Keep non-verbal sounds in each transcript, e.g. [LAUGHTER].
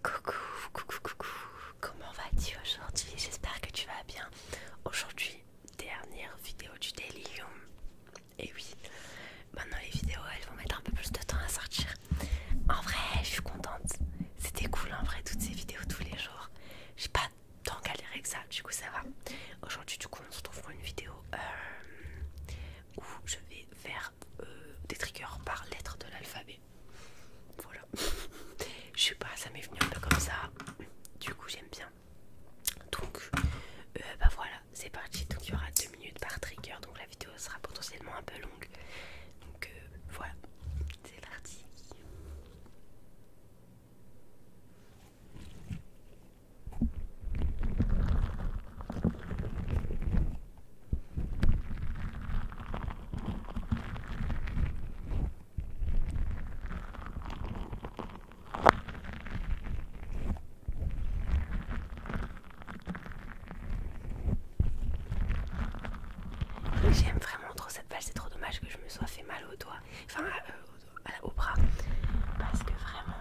Coucou, coucou, coucou, comment vas-tu aujourd'hui J'espère que tu vas bien. Aujourd'hui, dernière vidéo du Delium. Et oui, maintenant les vidéos elles vont mettre un peu plus de temps à sortir. En vrai, je suis contente. C'était cool en vrai, toutes ces vidéos tous les jours. pas tant galéré que ça, du coup ça va. Aujourd'hui du coup on se retrouve pour une vidéo euh, où je vais faire euh, des triggers par lettre de l'alphabet. Voilà. je sais pas, ça m'est venu un peu comme ça. Du coup j'aime bien. Donc euh, bah voilà, c'est parti. Donc il y aura 2 minutes par trigger, donc la vidéo sera potentiellement un peu longue. Donc voilà, c'est parti. J'aime vraiment trop cette balle, c'est trop dommage que je me sois fait mal au doigt. Enfin, euh, au bras parce que vraiment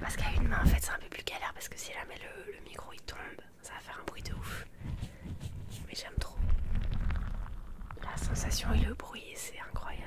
parce qu'à une main en fait c'est un peu plus galère parce que si jamais le, le micro il tombe ça va faire un bruit de ouf mais j'aime trop la sensation et le bruit c'est incroyable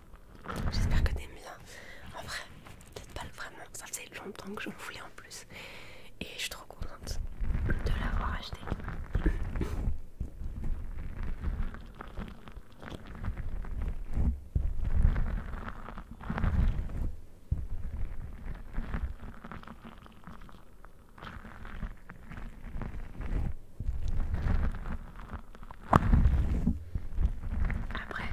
J'espère que t'aimes bien. En vrai, peut-être pas vraiment. Ça faisait longtemps que je me voulais en plus. Et je suis trop contente de l'avoir acheté. Après,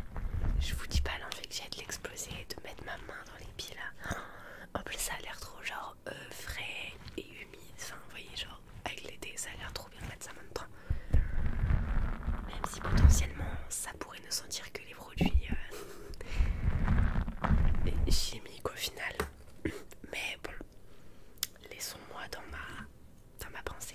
je vous dis pas l'envie que j'ai de l'exploser et de mettre ma main dans les pieds là. En plus, ça a l'air trop genre euh, frais et humide. Enfin, vous voyez, genre avec l'été, ça a l'air trop bien de mettre ça en même Même si potentiellement ça pourrait ne sentir que les produits euh, [LAUGHS] chimiques au final. Mais bon, laissons-moi dans ma dans ma pensée.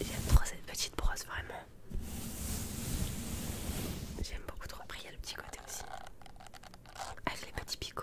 J'aime trop cette petite brosse, vraiment. J'aime beaucoup trop. Après, il y a le petit côté aussi. Avec les petits picots.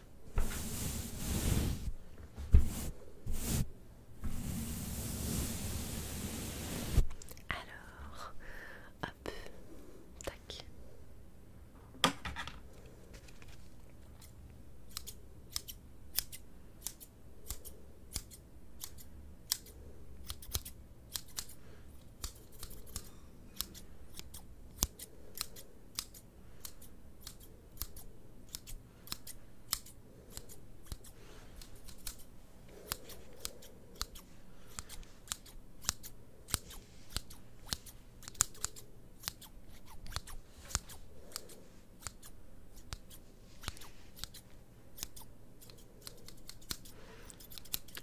Alors, hop, tac.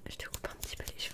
Je te coupe un petit peu les cheveux.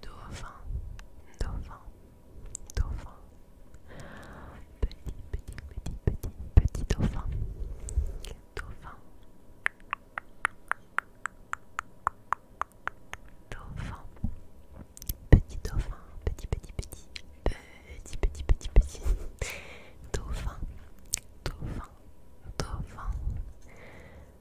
Dauphin, dauphin, dauphin. Petit, petit, petit, petit, petit dauphin. Dauphin. Dauphin. Petit dauphin, petit, petit, petit, petit, petit, petit, petit. Dauphin, dauphin, dauphin.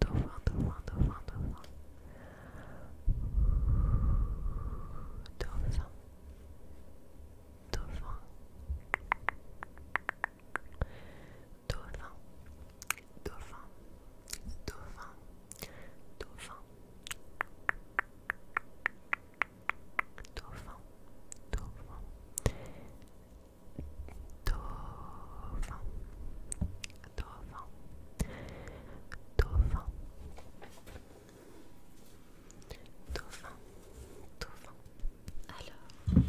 dauphin, dauphin, dauphin, dauphin. Dauphin. Dauphin. Dauphin. Dauphin. Dauphin. Dauphin. Dauphin. Dauphin. Dauphin, dauphin, dauphin, dauphin, dauphin. Alors,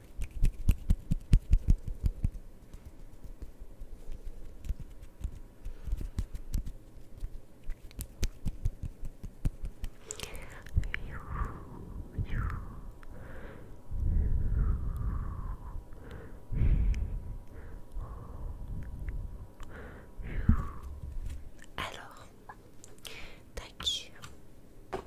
Alors, tac.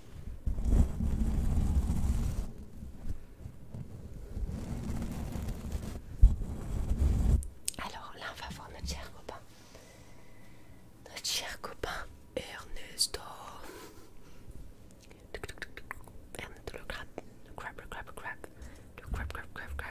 Alors là, on va voir notre cher copain. Notre cher copain Ernesto. Ernesto le crabe. Le crabe, crabe, crabe, crabe, crabe, crabe.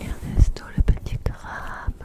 Ernesto le petit crabe.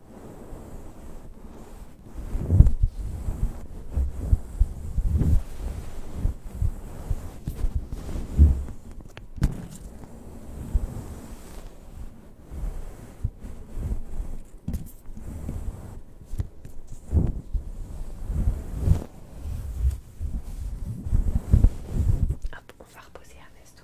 on va reposer un Ernesto.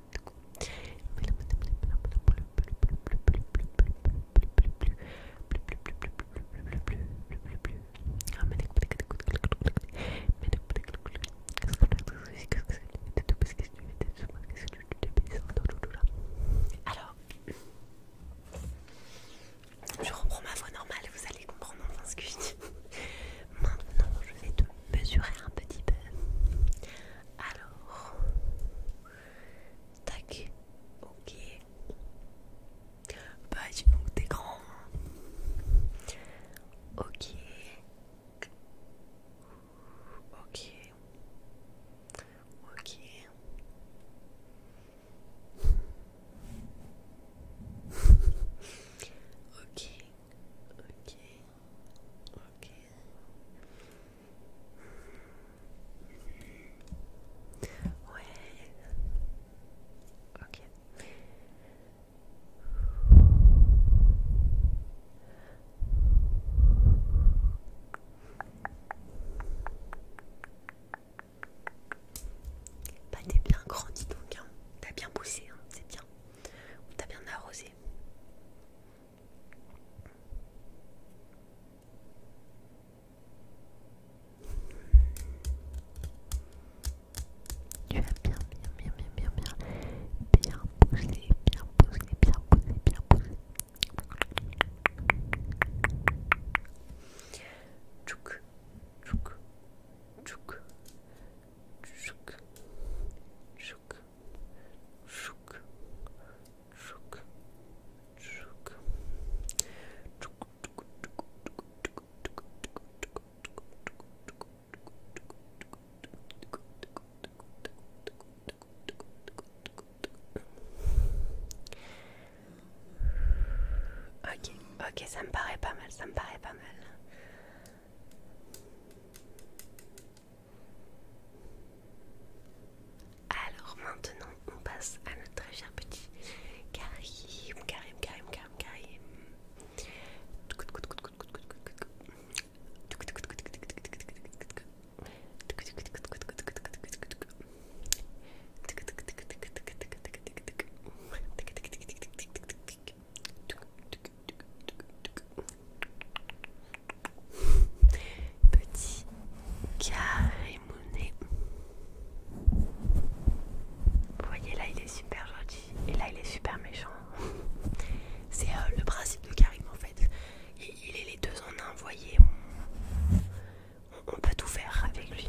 Alors, je reprends ma voix normale, vous allez comprendre enfin ce que je dis. Maintenant, je vais te mesurer un petit peu. Alors, tac, ok. Bah, dis donc, t'es grand. Hein. Ok. Ok. Ok. ok. Ok. Ok. Ouais. Ok. Bah t'es bien grandi donc hein. T'as bien poussé hein. c'est bien. tu t'as bien arrosé. Tu vas bien, bien, bien, bien, bien, bien, bien bien bien bien Ok, ok, ça me paraît pas mal, ça me paraît pas mal. Alors maintenant, on passe à notre très cher petit Karim, Petit carré Vous voyez là il est super gentil et là il est super méchant. C'est le principe de Karim en fait. Il, est les deux en un, vous voyez. on peut tout faire avec lui.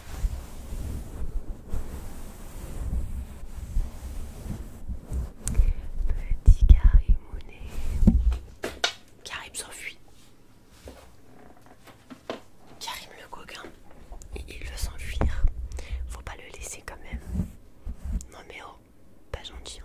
Petit mon nez Karim s'enfuit. Karim le coquin. Il veut s'enfuir. Faut pas le laisser quand même. Non mais oh, pas gentil. Hein.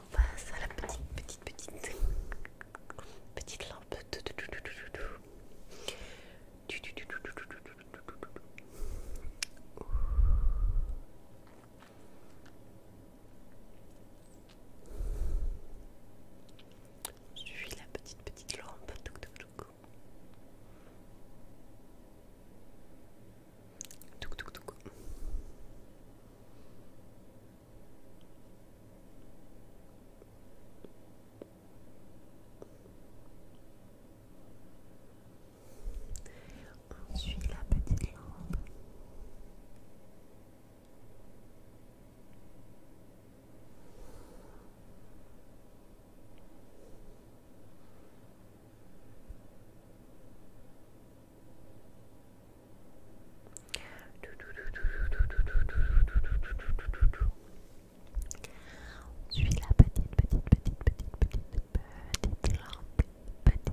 on passe à la petite, petite, petite, petite lampe. Je suis la petite, petite lampe. Ensuite, la petite lampe la petite, petite, petite, petite, petite, petite lampe, petite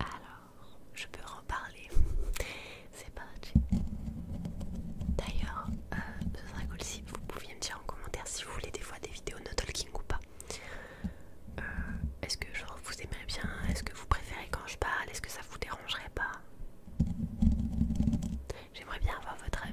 Alors, je peux reparler. [LAUGHS] C'est parti. D'ailleurs, euh, ce serait si vous pouviez me dire en commentaire si vous voulez des fois des vidéos no talking ou pas. Euh, est-ce que je vous aimeriez bien Est-ce que vous préférez quand je parle Est-ce que ça vous dérangerait pas J'aimerais bien avoir votre avis.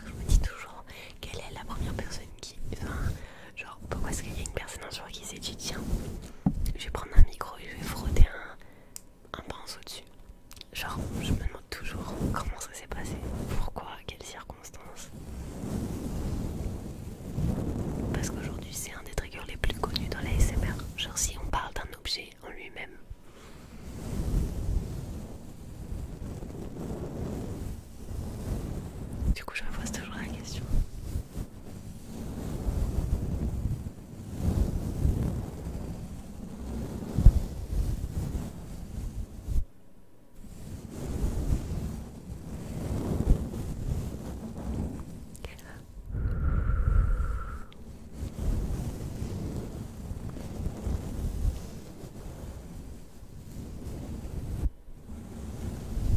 Je me dis toujours quelle est la première personne qui, va Genre, pourquoi est-ce qu'il y a une personne ce moment qui s'est dit tiens, je vais prendre un micro et je vais frotter un, un pinceau dessus Genre, je me demande toujours comment ça s'est passé, pourquoi, quelles circonstances. Parce qu'aujourd'hui, c'est un des triggers les plus connus dans la SMR. Genre, si on parle d'un objet en lui-même. Du coup, je me pose toujours la question.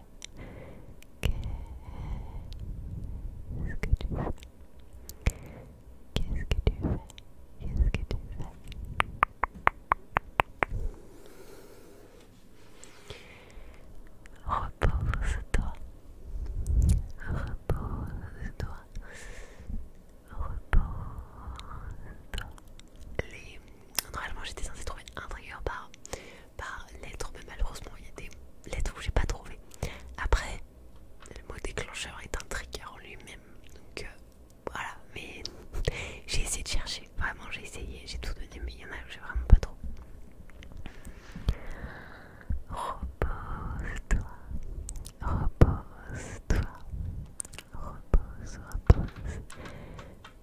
Qu'est-ce que tu fais Qu'est-ce que tu fais Qu'est-ce que tu fais Repose-toi. Repose-toi. Repose-toi normalement j'étais censée trouver un trigger par, par lettre, mais malheureusement il y a des lettres où j'ai pas trouvé. Après, le mot déclencheur est un trigger en lui-même, donc euh, voilà. Mais [LAUGHS] j'ai essayé de chercher, vraiment j'ai essayé, j'ai tout donné, mais il y en a où j'ai vraiment pas trop. Repose-toi, repose-toi, repose, repose.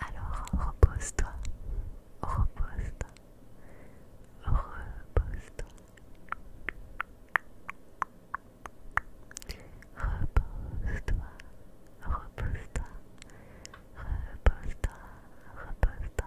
Alors repose-toi, repose-toi, repose-toi. Repose-toi, repose-toi, repose-toi, repose-toi.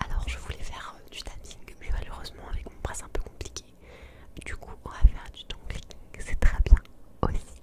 Alors je voulais faire euh, du tapping, mais malheureusement avec mon bras c'est un peu compliqué. Du coup on va faire du tongue c'est très bien aussi.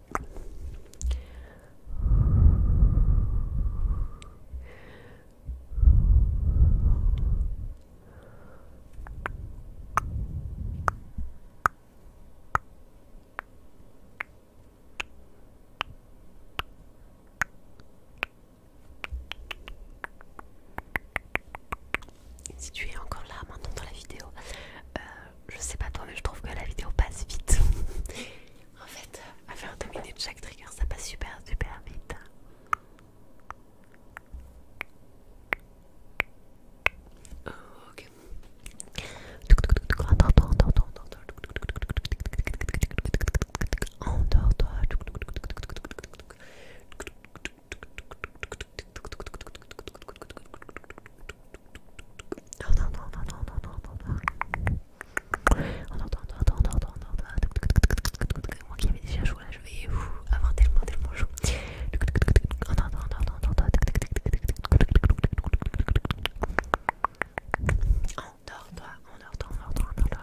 Si tu es encore là maintenant dans la vidéo, euh, je sais pas toi mais je trouve que la vidéo passe vite. [LAUGHS] En fait, à faire deux minutes chaque trigger, ça passe super super vite. Moi qui des déjà chaud je vais avoir tellement, tellement chaud. Endors-toi, On entend on toi endors-toi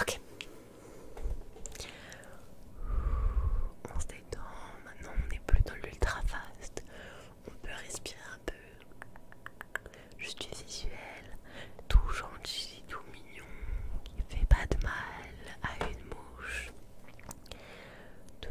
Ok. On se détend. Maintenant, on n'est plus dans l'ultra fast. On peut respirer un peu. Juste du visuel. Tout gentil, tout mignon. Qui fait pas de mal à une mouche. Tout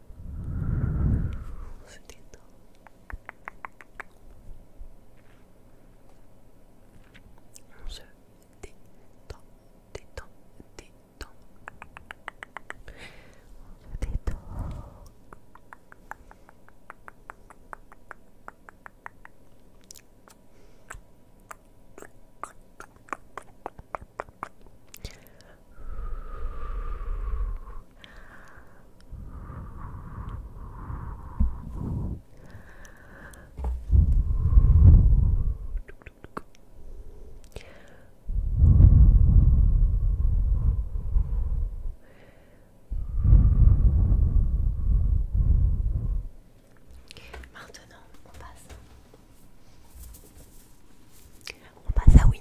On se détend. On se détend, détend, détend. On se détend. Maintenant, on passe on passe à Winnie.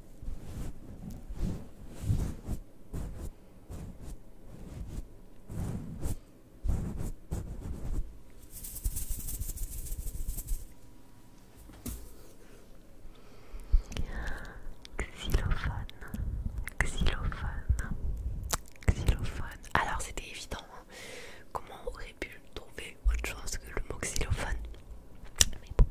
Xylophone, xylophone, xylophone. Alors c'était évident. Hein. Comment aurais-je pu trouver autre chose que le mot xylophone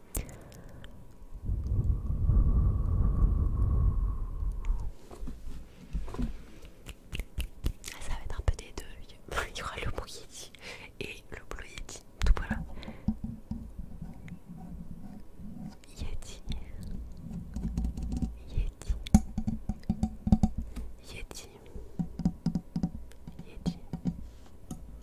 Ah, ça va être un peu des deux. [LAUGHS] Il y aura le bruit et le bleu Yeti. Tout voilà. Yeti. Yeti. Yeti.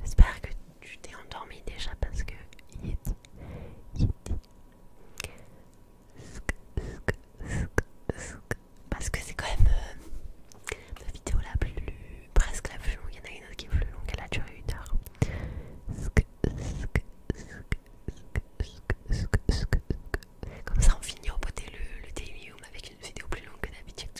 J'espère que tu t'es endormi déjà parce que Parce que c'est quand même la euh, vidéo la plus presque la plus longue. Il y en a une autre qui est plus longue, elle a duré une heure. Comme ça on finit au beauté le, le daily avec une vidéo plus longue que d'habitude.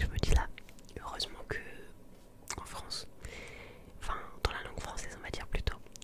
Je me dis là, heureusement que en France, enfin dans la langue française on va dire plutôt,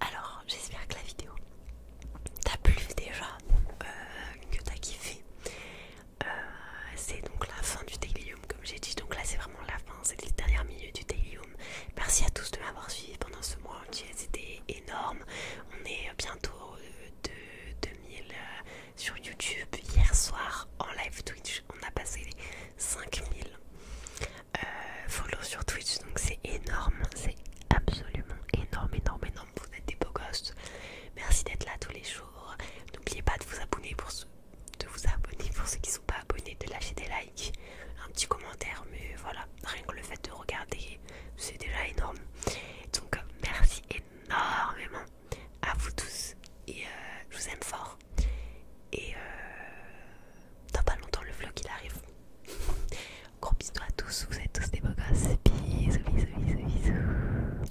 Alors, j'espère que la vidéo t'a plu déjà, euh, que t'as kiffé. Euh, c'est donc la fin du Daily comme j'ai dit. Donc là, c'est vraiment la fin, c'est le dernier milieu du Daily Merci à tous de m'avoir suivi pendant ce mois entier, c'était énorme. On est bientôt euh, de 2000 euh, sur YouTube. Hier soir, en live Twitch, on a passé les 5000 euh, followers sur Twitch, donc c'est énorme, c'est absolument énorme, énorme, énorme. Vous êtes des beaux gosses. Merci d'être là tous les jours. N'oubliez pas de vous abonner pour ceux de vous abonner pour ceux qui ne sont pas abonnés, de lâcher des likes un petit commentaire, mais voilà, rien que le fait de regarder, c'est déjà énorme. Donc merci énormément à vous tous et euh, je vous aime fort. Et euh, dans pas longtemps le vlog il arrive. [LAUGHS] Gros bisous à tous, vous êtes tous des beaux bisous, bisous, bisous.